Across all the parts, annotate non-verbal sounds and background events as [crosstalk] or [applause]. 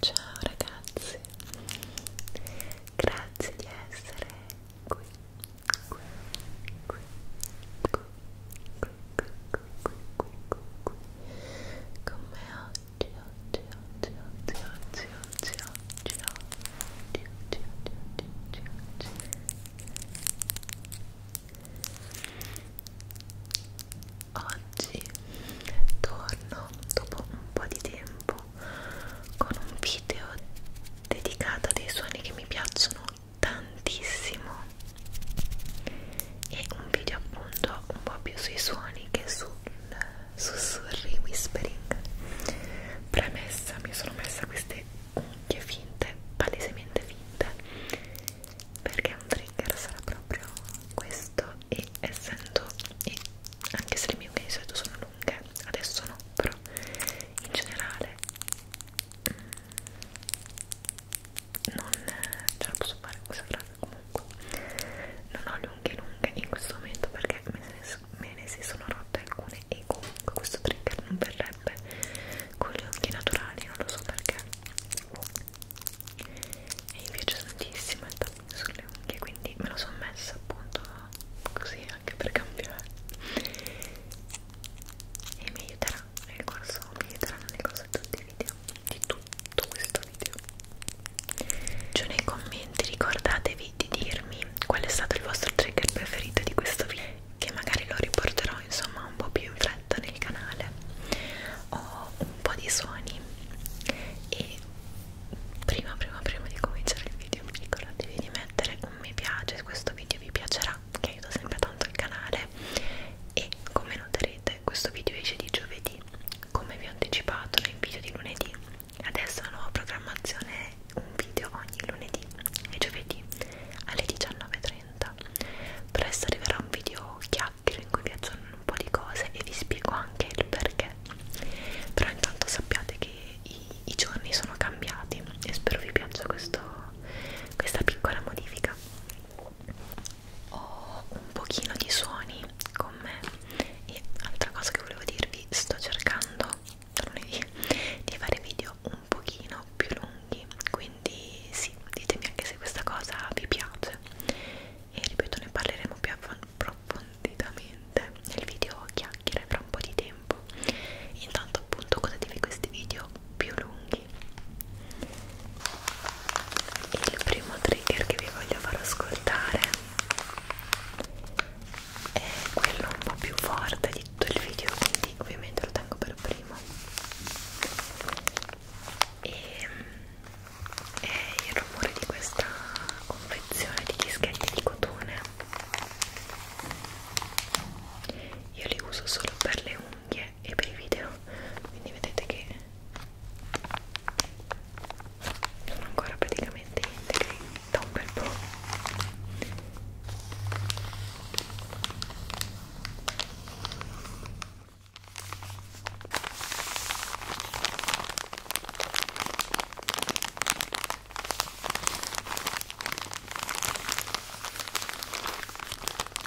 Ciao ragazzi, grazie di essere qui, qui, qui, qui, qui, qui, qui, qui, qui, qui, qui, qui. Come oggi, oggi, oggi, oggi, oggi, oggi, oggi, oggi, oggi, oggi, oggi, oggi, oggi. torno dopo un po' di tempo con un video dedicato a dei suoni che mi piacciono tantissimo e un video appunto un po' più sui suoni che sul sussurri whispering premessa mi sono messa queste unghie finte palesemente finte perché un trigger sarà proprio questo e essendo e anche se le mie unghie di solito sono lunghe adesso no però in generale mm, non ce la posso fare questa frase comunque non ho le unghie lunghe in questo momento perché me ne, me ne si sono rotte alcune e comunque questo trigger non verrebbe con le unghie naturali non lo so perché e mi piace tantissimo il tapping sulle unghie quindi me lo sono messa appunto così anche per cambiare e mi aiuterà nel corso mi aiuterà nel corso di tutti i video, di tutto questo video giù cioè, nei commenti ricordatevi di dirmi qual è stato il vostro trigger preferito di questo video che magari lo riporterò insomma un po' più in fretta nel canale ho un po' di suoni e prima prima prima di cominciare il video ricordatevi di mettere un mi piace se questo video vi piacerà che aiuta sempre tanto il canale e come noterete questo video esce di giovedì come vi ho anticipato nel video di lunedì adesso la nuova programmazione è un video ogni lunedì e giovedì alle 19.30 presto arriverà un video chiacchiere in cui vi aggiorno un po' di cose e vi spiego anche il perché però intanto sappiate che i, i giorni sono cambiati e spero vi piaccia questo, questa piccola modifica ho un pochino di suoni con me e altra cosa che volevo dirvi sto cercando lunedì di fare video un pochino più lunghi quindi sì ditemi anche se questa cosa vi piace e ripeto ne parleremo più approfonditamente nel video chiacchiere fra un po' di tempo intanto appunto godetevi questi video più lunghi occhi il primo trigger che vi voglio far ascoltare è quello un po' più forte di tutto il video quindi ovviamente lo tengo per primo e è il rumore di questa confezione di dischetti di cotone io li uso solo per le unghie e per i video quindi vedete che sono ancora praticamente integri da un bel po'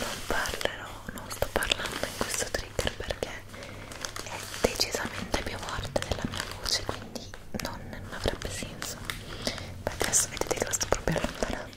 non parlerò, non sto parlando in questo trigger perché è decisamente più forte della mia voce quindi non, non avrebbe senso ma adesso vedete che lo sto proprio allontanando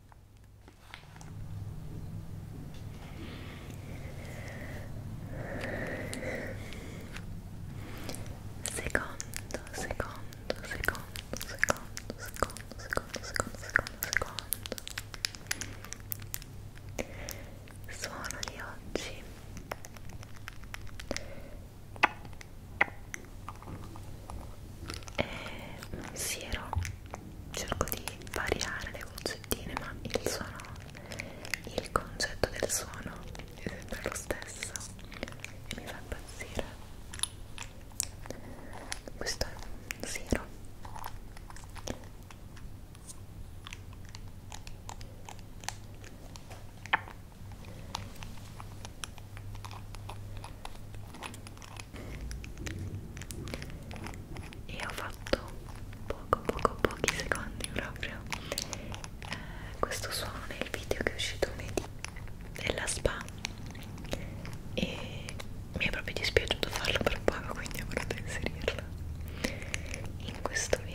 Secondo, secondo, secondo, secondo, secondo, secondo, secondo, secondo, secondo. Suono di oggi e eh, un siero cerco di variare le goccettine ma il suono il concetto del suono è sempre lo stesso e mi fa impazzire questo è un siero e ho fatto poco poco pochi secondi proprio eh, questo suono nel video che è uscito lunedì della spa e mi è proprio dispiaciuto farlo per poco quindi ho voluto inserirlo in questo video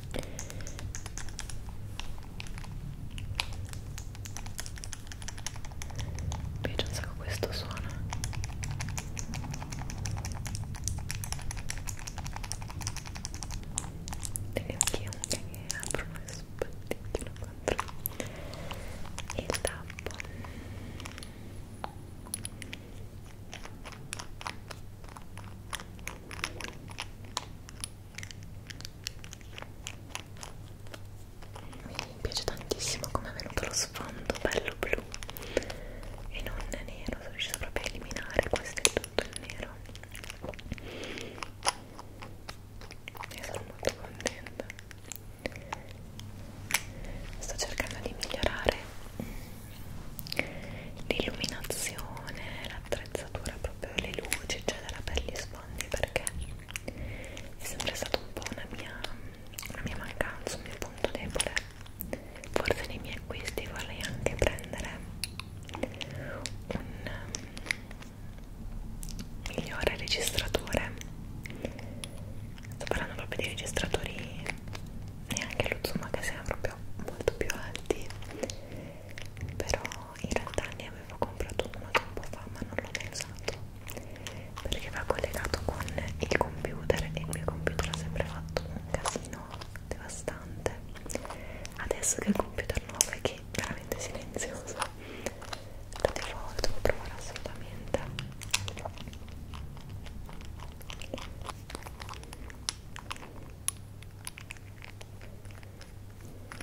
Mi piace un sacco questo suono Devi anche che apro uno spatticchino contro il tappo mi piace tantissimo come è venuto lo sfondo bello blu e non nero sono riuscita proprio a eliminare questo è tutto il nero e sono molto contenta sto cercando di migliorare l'illuminazione l'attrezzatura proprio le luci eccetera per gli sfondi rispondi perché è sempre stato un po' una mia, una mia mancanza, un mio punto debole. Forse nei miei acquisti vorrei anche prendere un um, migliore registratore. Sto parlando proprio di registratori neanche lo zoom che siano proprio molto più alti però in realtà ne avevo comprato uno tempo fa ma non l'ho mai usato perché va collegato con il computer e il mio computer ha sempre fatto un casino devastante adesso che il computer nuovo è che è veramente silenzioso lo devo, lo devo provare assolutamente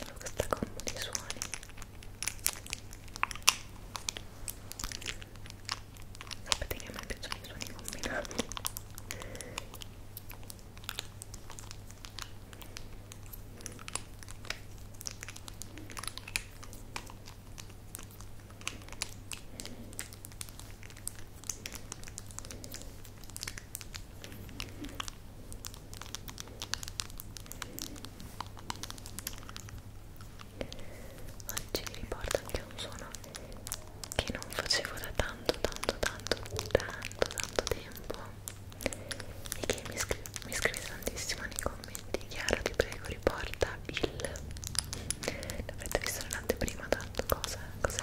Adoro questa combo di suoni sapete che a me piacciono i suoni combinati Oggi mi riporta anche un suono che non facevo da tanto, tanto, tanto, tanto, tanto tempo e che mi, scrive, mi scrive tantissimo nei commenti Chiara ti prego riporta il l'avrete visto nell'anteprima tanto cosa cos'è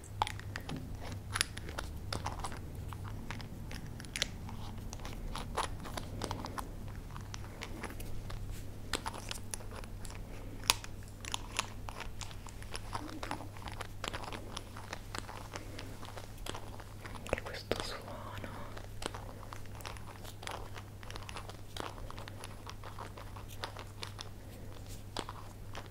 anche questo suono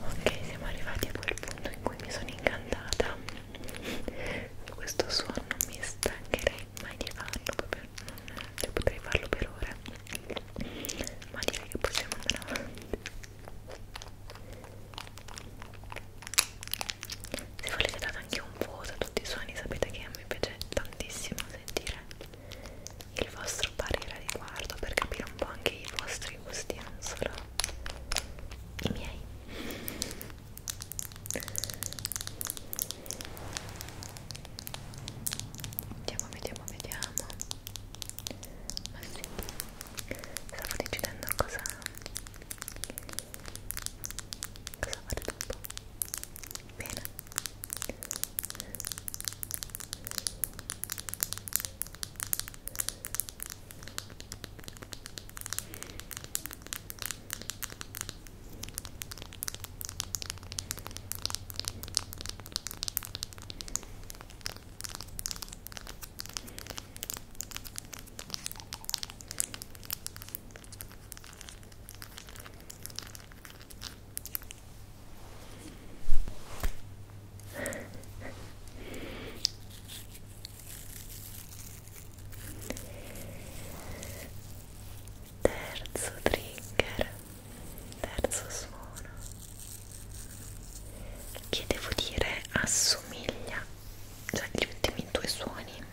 Ok, siamo arrivati a quel punto in cui mi sono incantata. Questo suono mi stancherei mai di farlo, proprio non, cioè potrei farlo per ore ma direi che possiamo andare avanti se volete date anche un voto a tutti i suoni sapete che a me piace tantissimo sentire il vostro parere a riguardo per capire un po' anche i vostri gusti non solo i miei vediamo vediamo vediamo ma sì, stavo decidendo cosa, cosa fare dopo. Bene. Bene, Terzo trigger terzo suono che devo dire assomiglia cioè gli ultimi due suoni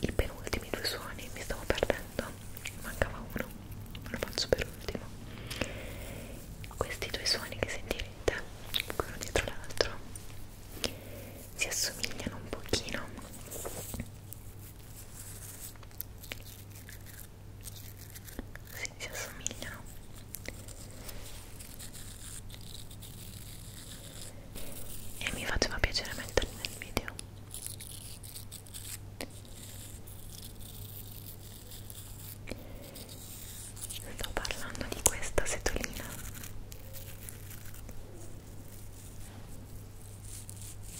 i penultimi due suoni mi stavo perdendo mancava uno lo faccio per ultimo questi due suoni che sentirete uno dietro l'altro si assomigliano un pochino sì, si assomigliano e mi faceva piacere metterli nel video sto parlando di questa setolina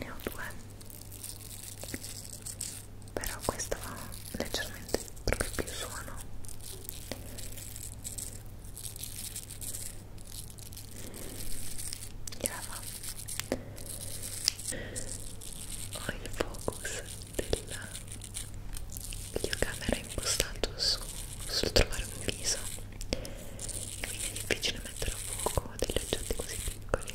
ne ho due però questo fa leggermente proprio più suono gliela fa ho il focus del videocamera è impostato su, sul trovare un viso quindi è difficile mettere a fuoco degli oggetti così piccoli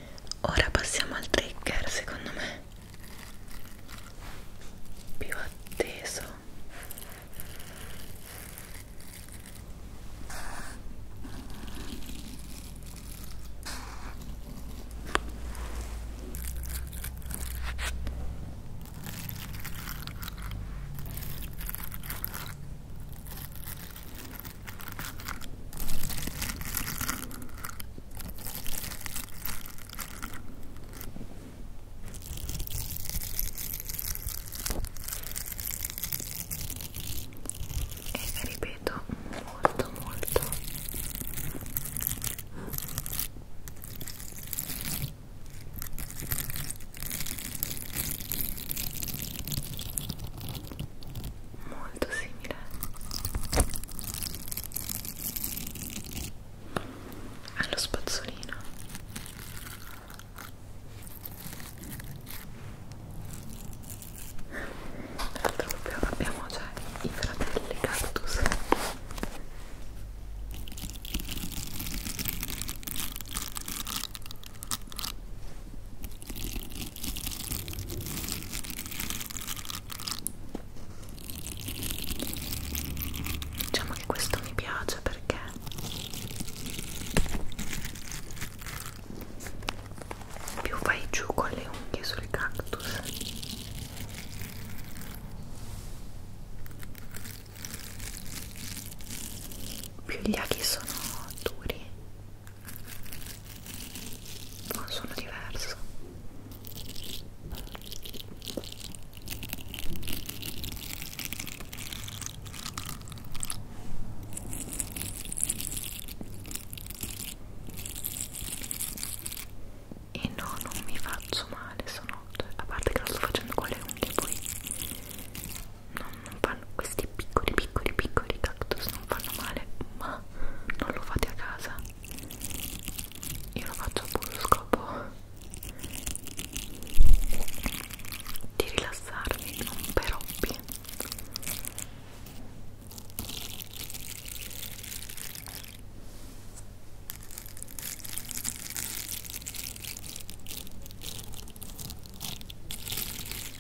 ora passiamo al trigger secondo me più atteso e ripeto molto molto molto simile allo spazzolino tra l'altro proprio abbiamo già i fratelli cactus Diciamo che questo mi piace perché più vai giù con le unghie sul cactus più gli aghi sono duri ha oh, un suono diverso e no, non mi faccio male, sono... a parte che lo sto facendo con le unghie poi non non fanno questi piccoli piccoli piccoli cactus non fanno male ma non lo fate a casa io lo faccio a puro scopo di rilassarmi non per hobby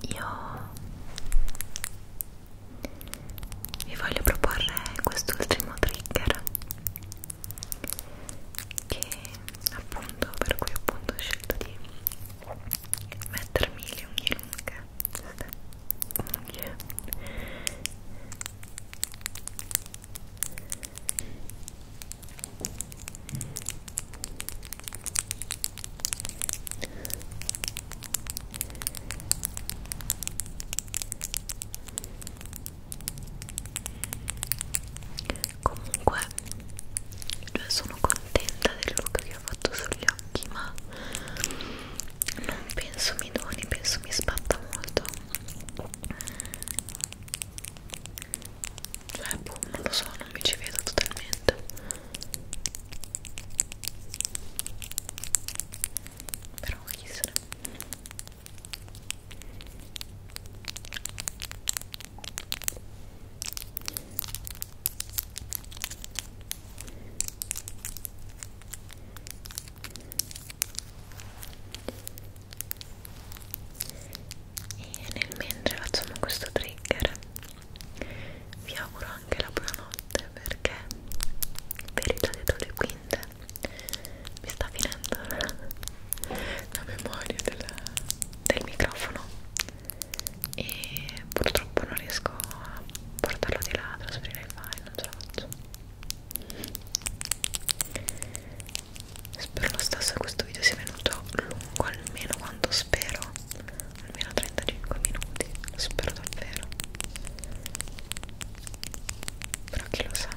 Io vi voglio proporre quest'ultimo trigger che appunto per cui appunto ho scelto di mettermi le unghie lunghe queste unghie comunque cioè sono contenta del look che ho fatto sugli occhi ma non penso mi doni, penso mi spatta molto cioè boh, non lo so, non mi ci vedo totalmente però chi se ne e nel mentre facciamo questo trigger vi auguro anche la buonanotte perché verità dietro le quinte mi sta finendo [laughs] la memoria del, del microfono e purtroppo non riesco a portarlo di là, a trasferire il file, non ce la faccio spero lo stesso che questo video sia venuto lungo almeno quanto spero almeno 35 minuti lo spero davvero però chi lo sa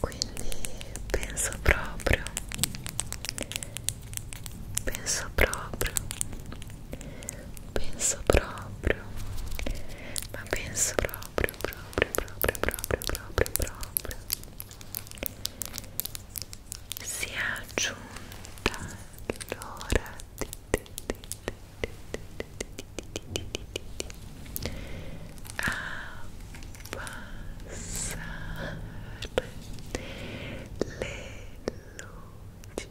quindi penso proprio penso proprio penso proprio ma penso proprio proprio proprio proprio proprio proprio si è aggiunta l'ora a passare le luci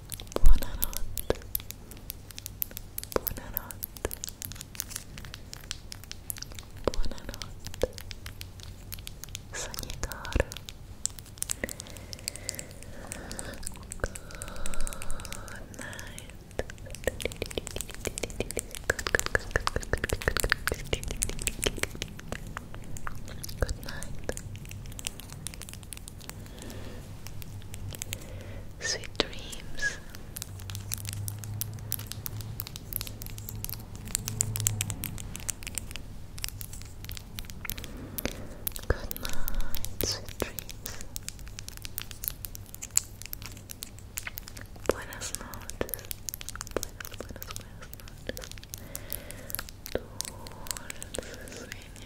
Buonanotte. Buonanotte. Buonanotte. Sogni Good night. Good night. Sweet dreams. Good night, sweet dreams. Buenas noches. Buenas, buenas, noches. Dulces sueños.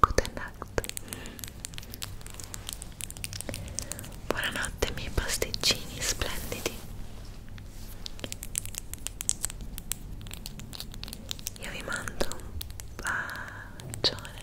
good night buonanotte miei pasticcini splendidi io vi mando un bacione